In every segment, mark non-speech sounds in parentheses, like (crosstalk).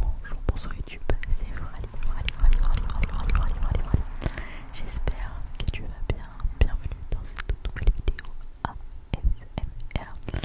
Bonjour, bonsoir YouTube, c'est Aurélie, Aurélie, Aurélie, Aurélie, Aurélie, J'espère que tu vas bien, bienvenue dans cette toute nouvelle vidéo ASMR.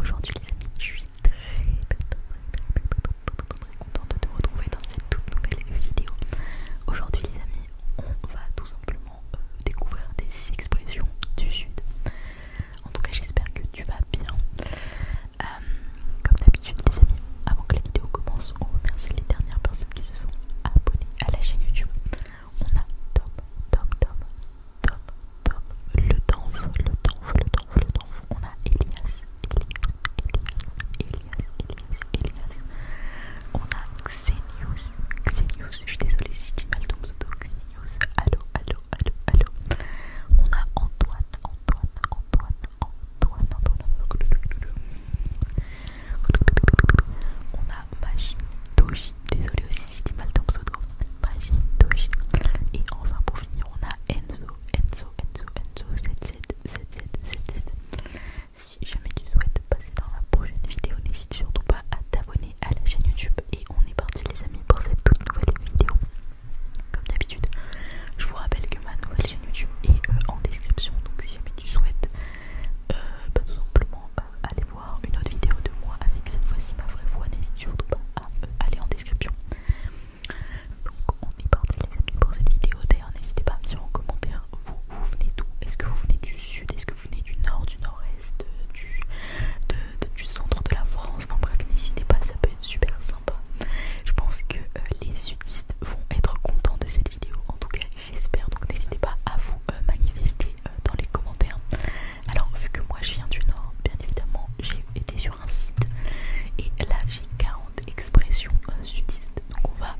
Aujourd'hui les amis, je suis très très très contente de te retrouver dans cette toute nouvelle vidéo. Aujourd'hui les amis, on va tout simplement découvrir des expressions du sud. En tout cas, j'espère que tu vas bien. Euh, comme d'habitude, les amis, avant que la vidéo commence, on remercie les dernières personnes qui se sont abonnées à la chaîne YouTube. On a Tom, Tom, Tom, Tom, Tom, le Danf, le Danf, le Danf, le Danf. On a Elias, Elias, Elias, Elias, Elias. Elias, On a Xenius, Xenius. Je suis désolée si j'ai dit mal ton pseudo, Allo allo allo allo On a Antoine, Antoine, Antoine, Antoine, On a Désolé aussi mal ton pseudo. Et enfin pour finir, on a Enzo, Enzo, Enzo, Enzo, Si jamais tu souhaites passer dans la prochaine vidéo, n'hésite surtout pas à t'abonner à la chaîne YouTube et on est parti les amis pour cette toute nouvelle vidéo. Comme d'habitude, je vous rappelle que ma nouvelle chaîne YouTube est euh, en description, donc si jamais tu souhaites euh, bah, tout simplement euh, aller voir une autre vidéo de moi avec cette fois-ci ma vraie voix, n'hésite surtout pas à aller en description. Donc on est parti les amis pour cette vidéo. D'ailleurs n'hésitez pas à me dire en commentaire vous, vous venez d'où Est-ce que vous venez du sud Est-ce vous venez du nord, du nord-est, du, centre de la France, enfin bref, n'hésitez pas, ça peut être super sympa. Je pense que euh, les sudistes vont être contents de cette vidéo, en tout cas j'espère, donc n'hésitez pas à vous euh, manifester euh, dans les commentaires. Alors vu que moi je viens du nord, bien évidemment j'ai été sur un site et là j'ai 40 expressions sudistes, donc on va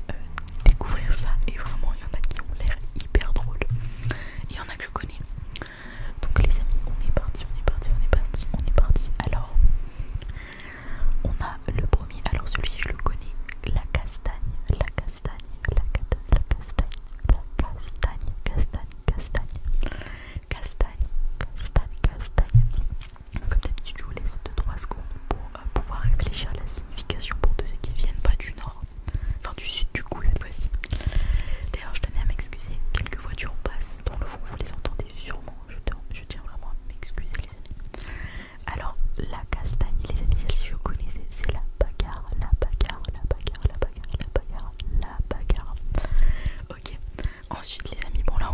découvrir ça et vraiment il y en a qui ont l'air hyper drôles, il y en a que je connais. Donc les amis, on est parti, on est parti, on est parti, on est parti. Alors, on a le premier. Alors celui-ci, je le connais. La castagne, la castagne, la castagne, la castagne, la castagne, castagne, castagne, castagne, castagne, Comme d'habitude, je vous laisse 2-3 secondes pour euh, pouvoir réfléchir à la signification pour ceux qui viennent pas du nord enfin du sud du coup cette fois-ci. D'ailleurs je tenais à m'excuser, quelques voitures passent dans le fond, vous les entendez sûrement, je, tiens vraiment à m'excuser les amis. Alors la castagne les amis, celle-ci je c'est la bagarre, la bagarre, la bagarre, la bagarre, la bagarre, la bagarre. Ok, ensuite les amis, bon là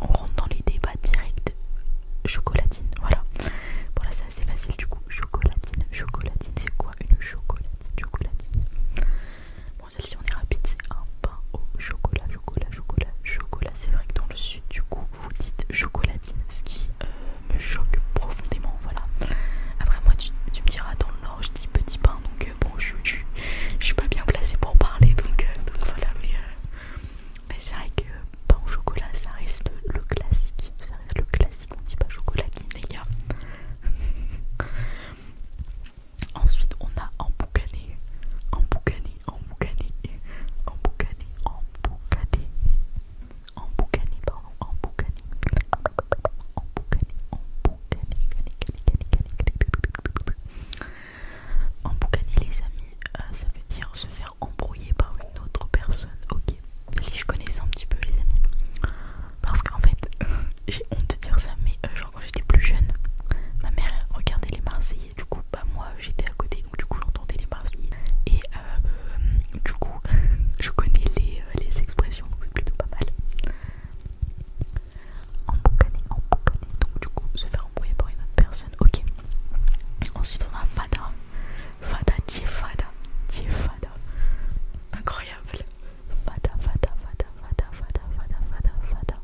on, rentre dans les débats directs chocolatine, voilà. Bon là c'est assez facile du coup, chocolatine, chocolatine, c'est quoi une chocolatine Bon celle-ci on est rapide, c'est un pain au chocolat, chocolat, chocolat, chocolat. C'est vrai que dans le sud du coup vous dites chocolatine, ce qui euh, me choque profondément, voilà. Après moi tu, me diras dans le nord je dis petit pain, donc euh, bon je, suis pas bien placé pour parler, donc, euh, voilà, mais, c'est vrai que pain au chocolat ça reste le classique, ça reste le classique qu'on dit pas chocolatine les (laughs) gars. Ensuite on a emboucané, emboucané, emboucané, emboucané, emboucané, en boucané, pardon, les amis, euh, ça veut dire se faire embrouiller par une autre personne, ok je connais je connaissais un petit peu les amis parce qu'en fait (laughs) j'ai honte de dire ça mais euh, genre quand j'étais plus jeune ma mère regardait les Marseillais du coup bah moi j'étais à côté donc du coup j'entendais les Marseillais et euh, euh, du coup (laughs) je connais les, les expressions donc c'est plutôt pas mal en emboucaner donc du coup se faire embrouiller par une autre personne ok ensuite on a fada Fada Fada Fada Incroyable Fada Fada Fada Fada Fada Fada Fada Fada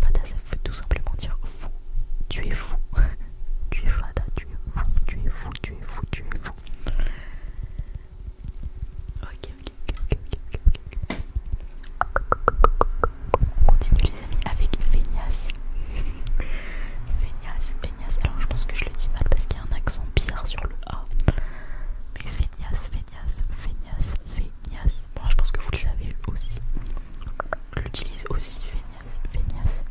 Fada ça veut tout simplement dire fou Tu es fou (laughs) Tu es Fada Tu es fou Tu es fou Tu es fou Tu es fou Ok ok ok ok ok ok On continue les amis avec Feignas Feignas (laughs) Alors je pense que je le dis mal parce qu'il y a un accent bizarre sur le A. Mais feignasse, feignasse, feignasse, feignasse. Moi je pense que vous le savez aussi. Je l'utilise aussi, feignasse, feignasse.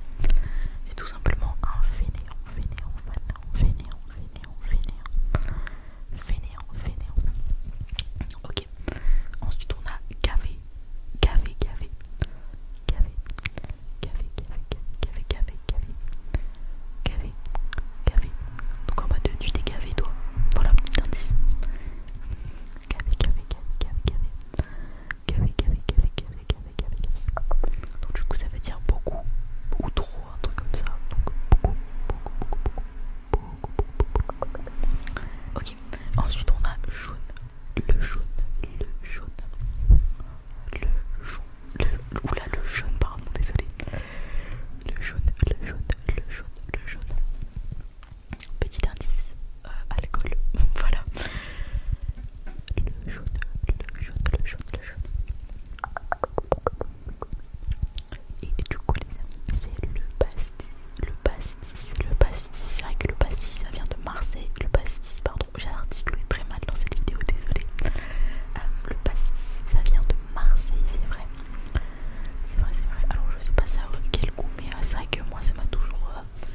C'est tout simplement un fainéant, fainéant, fainéant, fainéant, fainéant, fainéant, fainéant. Ok. Ensuite on a gavé, gavé, gavé gavé gavé gavé gavé gavé gavé café. Donc en mode tu t'es gavé toi. Voilà, petit indice. gavé gavé gavé gavé gavé gavé gavé gavé gavé gavé Donc du coup ça veut dire beaucoup ou trop, un truc comme ça. Donc beaucoup, beaucoup, beaucoup, beaucoup, beaucoup, beaucoup. Ok, ensuite on a jaune le jaune, le jaune, le jaune, le, oula, le jaune, pardon, désolé, le jaune, le jaune, le jaune, le jaune. Petit indice, euh, alcool, (laughs) voilà. Le jaune, le jaune, le jaune, le jaune. Et, du coup les amis, c'est le pastis, le pastis, le pastis. C'est vrai que le pastis, ça vient de Marseille. Le pastis, pardon un article très mal dans cette vidéo, désolé. Euh, le pastis, ça vient de Marseille, c'est vrai. C'est vrai, c'est vrai. Alors je sais pas ça quel goût, mais euh, c'est vrai que moi ça m'a toujours euh,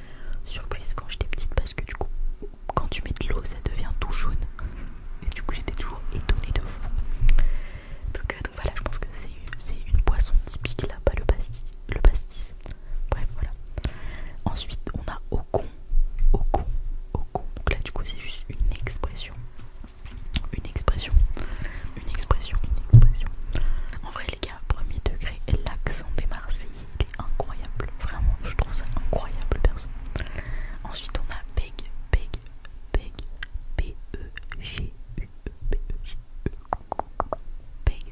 surprise quand j'étais petite parce que du coup, quand tu mets de l'eau, ça devient tout jaune. Et du coup, j'étais toujours étonnée de vous. Donc, voilà, je pense que c'est une poisson typique là pas le pastis. Le pastis Bref, voilà. Ensuite, on a au con, au con, au con. Donc là, du coup, c'est juste une expression. Une expression, une expression, une expression. En vrai, les gars, premier degré, l'accent des Marseillais, il est incroyable. Vraiment, je trouve ça incroyable, personne Ensuite, on a Peg, Peg, Peg, p e g u e, p e g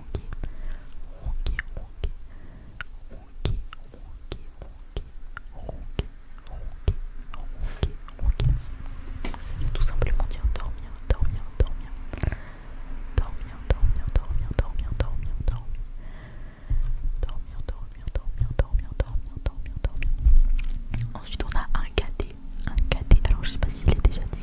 ronquer, ronquer, ronquer, ronquer, ronquer, ronquer, ronquer, ronquer, ronquer. Tout simplement dire dormir, dormir, dormir, dormir, dormir, dormir, dormir, dormir, dormir. Dormir, dormir, dormir, dormir, dormir, dormir, dormir. dormir, dormir, dormir, dormir, dormir, dormir, dormir. Ensuite on a un cadet, un cadet. Alors je sais pas s'il si est déjà dit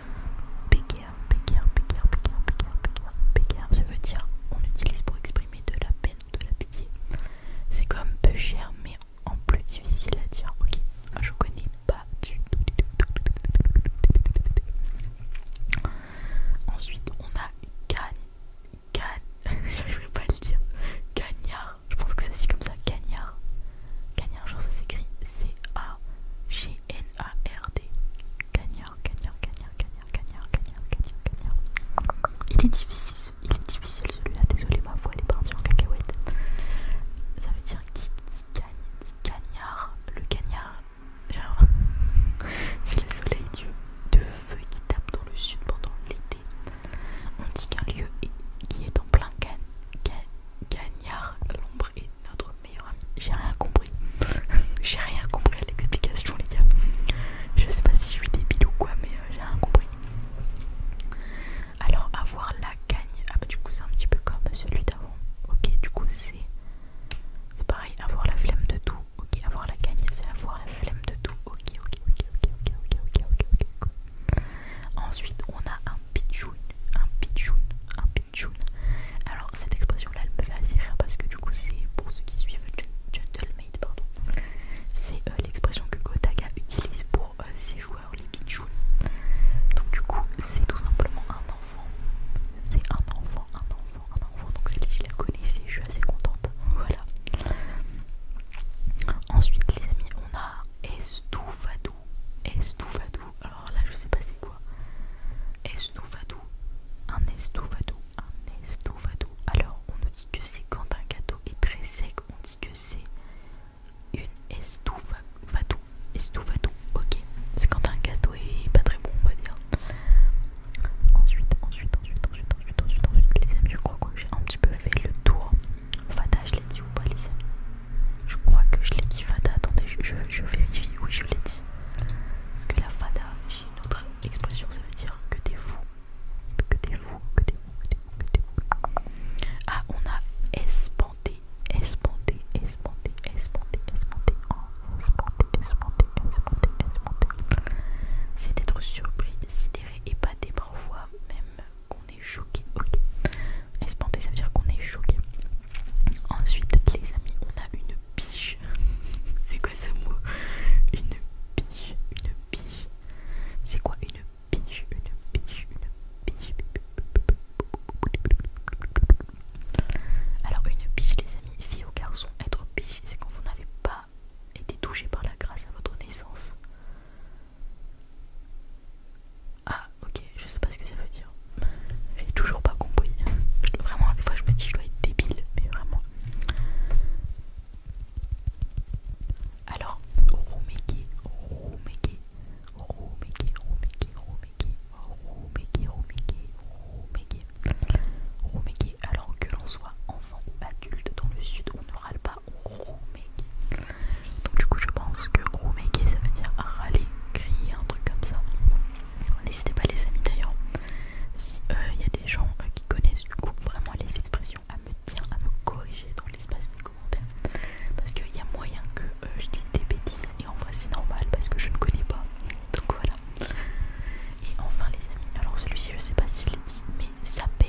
Béguer, béguer, béguer, béguer, béguer, béguer, ça veut dire on utilise pour exprimer de la peine ou de la pitié. C'est comme peu cher mais en plus difficile à dire. Ok, ah, je connais pas du tout. Ensuite, on a gagne, gagne, (laughs) je vais pas le dire, gagnard, je pense que ça se comme ça, gagnard. Cagnard jour, ça s'écrit C-A-G-N-A-R-D. Cagnard, cagnard, cagnard, cagnard, cagnard, cagnard, cagnard, cagnard. Il est difficile, celui-là, désolé ma voix, elle est partie en cacahuète. Ça veut dire qui dit gagne, Le cagnard, genre, (laughs) c'est le soleil de feu qui tape dans le sud pendant l'été. On dit qu'un lieu est, qui est en plein cagnard Gagnard, l'ombre est notre meilleur ami. J'ai rien compris. (laughs) j'ai rien compris à l'explication, les gars. Je sais pas si je suis débile ou quoi, mais euh, j'ai rien compris. Alors, avoir la gagne. Ah, bah, du coup, c'est un petit peu comme celui d'avant. Ok, du coup, c'est. C'est pareil, avoir la flemme de tout. Ok, avoir la gagne, c'est avoir la flemme de tout. ok, ok, ok, ok, ok, ok, ok. Ensuite, on a un pichoun, un un Alors, cette expression-là, elle me fait assez rire parce que du coup, c'est pour ceux qui suivent Gentlemaid, pardon, c'est euh, l'expression que Gotaga utilise pour euh, ses joueurs, les pichouns. Donc, du coup, c'est tout simplement un enfant. C'est un enfant, un enfant, un enfant. Donc, celle-ci, la connaissez je suis assez contente. Voilà. Ensuite, les amis, on a Estoufado estou Esnoufadou. Alors là, je sais pas c'est quoi. estoufadou, un estoufadou, un estoufado. Alors on nous dit que c'est quand un gâteau est très sec, on dit que c'est une Estou Estoufado. Ok, c'est quand un gâteau est pas très bon, on va dire. Ensuite, ensuite, ensuite, ensuite, ensuite, ensuite, ensuite, les amis, je crois que j'ai un petit peu fait le tour Fada, je l'ai dit ou pas, les amis Je crois que je l'ai dit fada, Attendez, je, vérifie. Oui, je l'ai dit. Parce que la fada, j'ai une autre expression, ça veut dire que t'es fou. Que t'es fou, que t'es fou, que t'es fou, que t'es fou. Ah, on a espanté, espanté, espanté, espanté, espanté, espanté, espanté, espanté, C'est d'être surpris, sidéré, épaté, parfois même qu'on est choqué. Ok. Espanté, ça veut dire qu'on est choqué. Ensuite, les amis, on a une biche. (laughs) C'est quoi ce mot Une biche, une biche. C'est quoi une biche Une biche, une biche. Alors, une biche, les amis, fille ou garçon, être biche, c'est quand vous n'avez pas été touché par la grâce à votre naissance. Ah, ok, je sais pas ce que ça veut dire. est toujours pas compris. Vraiment, des fois je me dis, je dois être débile, mais vraiment. Alors, Rumeki, Rumeki, Rumeki, Rumeki, Rumeki, Rumeki, Rumeki, Rumeki, Alors que l'on soit enfant ou adulte, dans le sud, on ne râle pas, donc du coup je pense que Roumégé ça veut dire râler, crier, un truc comme ça. N'hésitez pas les amis d'ailleurs, si il euh, y a des gens euh, qui connaissent du coup vraiment les expressions à me dire, à me corriger dans l'espace des commentaires. Parce qu'il y a moyen que euh, je dise des bêtises et en vrai c'est normal parce que je ne connais pas. Donc voilà. Et enfin les amis, alors celui-ci je sais pas si je l'ai dit mais ça pète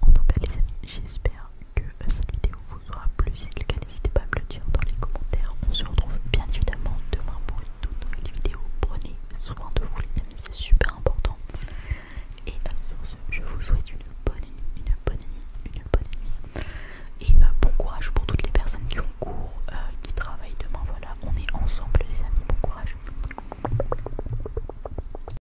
En tout cas les amis, j'espère que cette vidéo vous aura plu. Si c'est le cas, n'hésitez pas à me le dire dans les commentaires. On se retrouve bien évidemment demain pour une toute nouvelle vidéo. Prenez soin de vous les amis, c'est super important. Et euh, sur ce, je vous souhaite une bonne nuit, une bonne nuit, une bonne nuit. Et euh, bon courage pour toutes les personnes qui ont cours, euh, qui travaillent demain. Voilà, on est ensemble les amis, bon courage.